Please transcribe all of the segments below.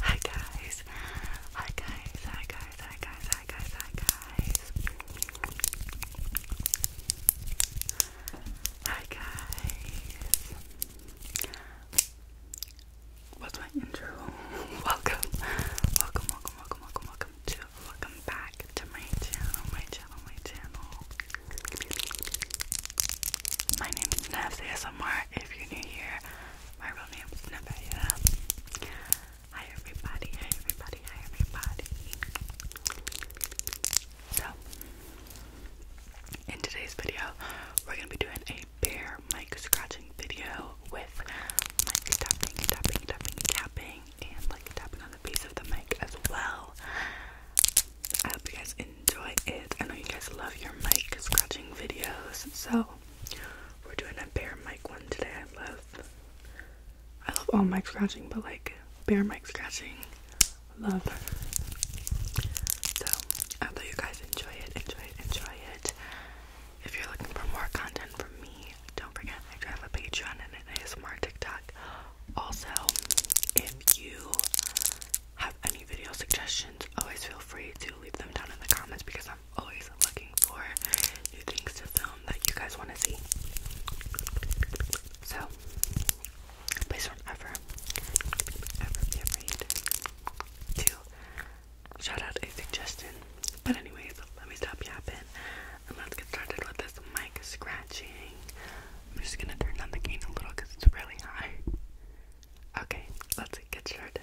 Hi guys. Hi guys. Hi guys. Hi guys. Hi guys. Hi guys. What's my intro? welcome. Welcome, welcome, welcome, welcome, welcome to welcome back to my channel, my channel, my channel. My name is Nevs ASMR. If you're new here, my real name is Nevaeh. Hi everybody, hi everybody, hi everybody. So, in today's video, we're gonna be doing a bear mic scratching video with mic tapping, tapping, tapping, tapping, and like tapping on the base of the mic as well. I hope you guys enjoy it. I know you guys love your mic scratching videos, so we're doing a bear mic one today. I love I love all mic scratching, but like bear mic scratching, love. So I hope you guys enjoy it, enjoy it, enjoy it. If you're looking for more content from me, don't forget I do a Patreon and an ASMR TikTok. Also, if you have any video suggestions, always feel free to leave them down in the comments because I'm always looking for new things to film that you guys want to see. So, please don't ever, ever be afraid to shout out a suggestion. But, anyways, let me stop yapping and let's get started with this mic scratching. I'm just gonna turn down the gain a little because it's really high. Okay, let's get started.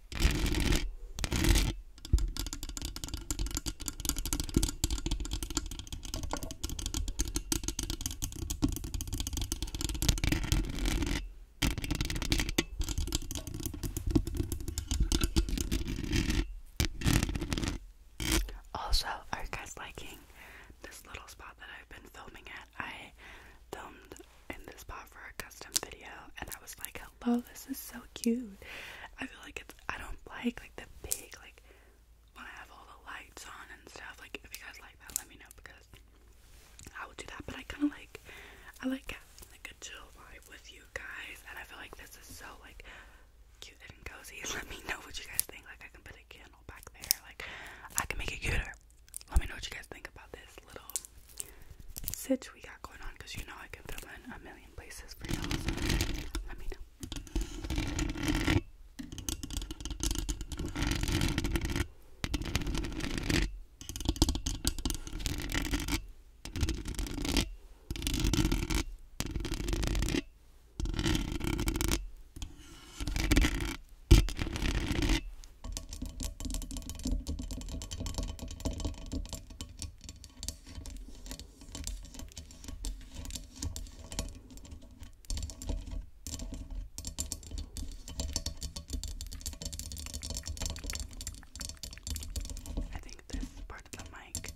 Also, are you guys liking this little spot that I've been filming at? I filmed in this spot for a custom video, and I was like Oh, this is so cute. I feel like it's I don't like like the big like when I have all the lights on and stuff. Like if you guys like that, let me know because I will do that. But I kind of like I like like a chill vibe with you guys, and I feel like this is so like cute and cozy. Let me know what you guys think. Like I can put a candle back there. Like I can make it cuter. Let me know what you guys think about this little Sitch we got going on because you know I can film in a million places for you let me know. I think this part of the mic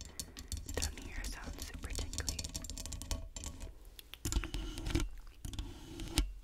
down here sounds super tingly.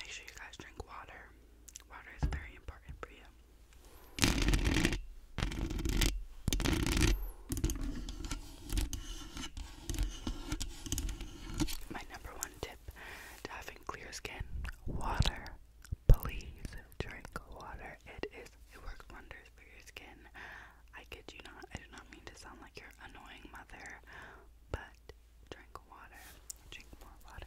Make sure you guys drink water. Water is very important for you. My number one tip to having clear skin water. Please drink water. It is it works wonders for your skin. I kid you not, I do not mean to sound like your annoying mother, but drink water. Drink more water.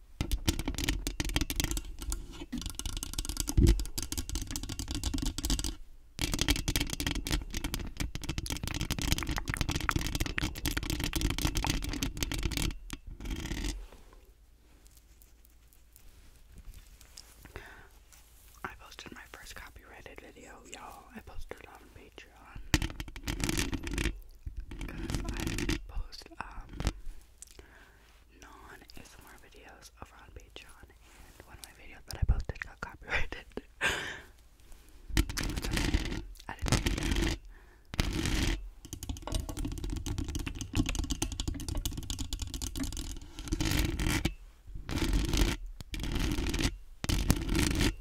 I posted my first copyrighted video, y'all. I posted it on Patreon because I post um non ASMR videos over on Patreon, and one of my videos that I posted got copyrighted. okay.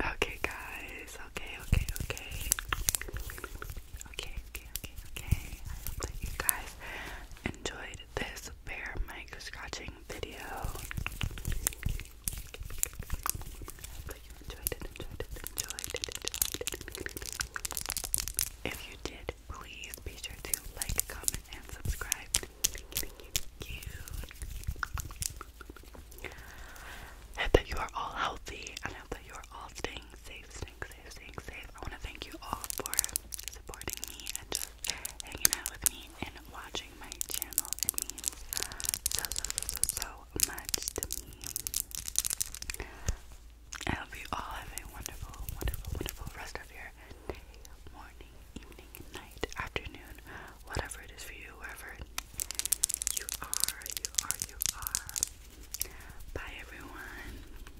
Okay, guys. Okay, okay, okay. Okay, okay, okay, okay. I hope that you guys enjoyed this bear mic scratching video. If you did, please be sure to like, comment, and subscribe. I hope that you are all healthy and I hope that you are all staying safe, safe, safe, safe, I want to thank you all for supporting me and just hanging out with me and watching my channel. It means so, so, so, so, so much to me. I hope you all have a wonderful, wonderful, wonderful rest of your day, morning, evening, night, afternoon, whatever it is for you, wherever you are, you are, you are. Bye, everyone.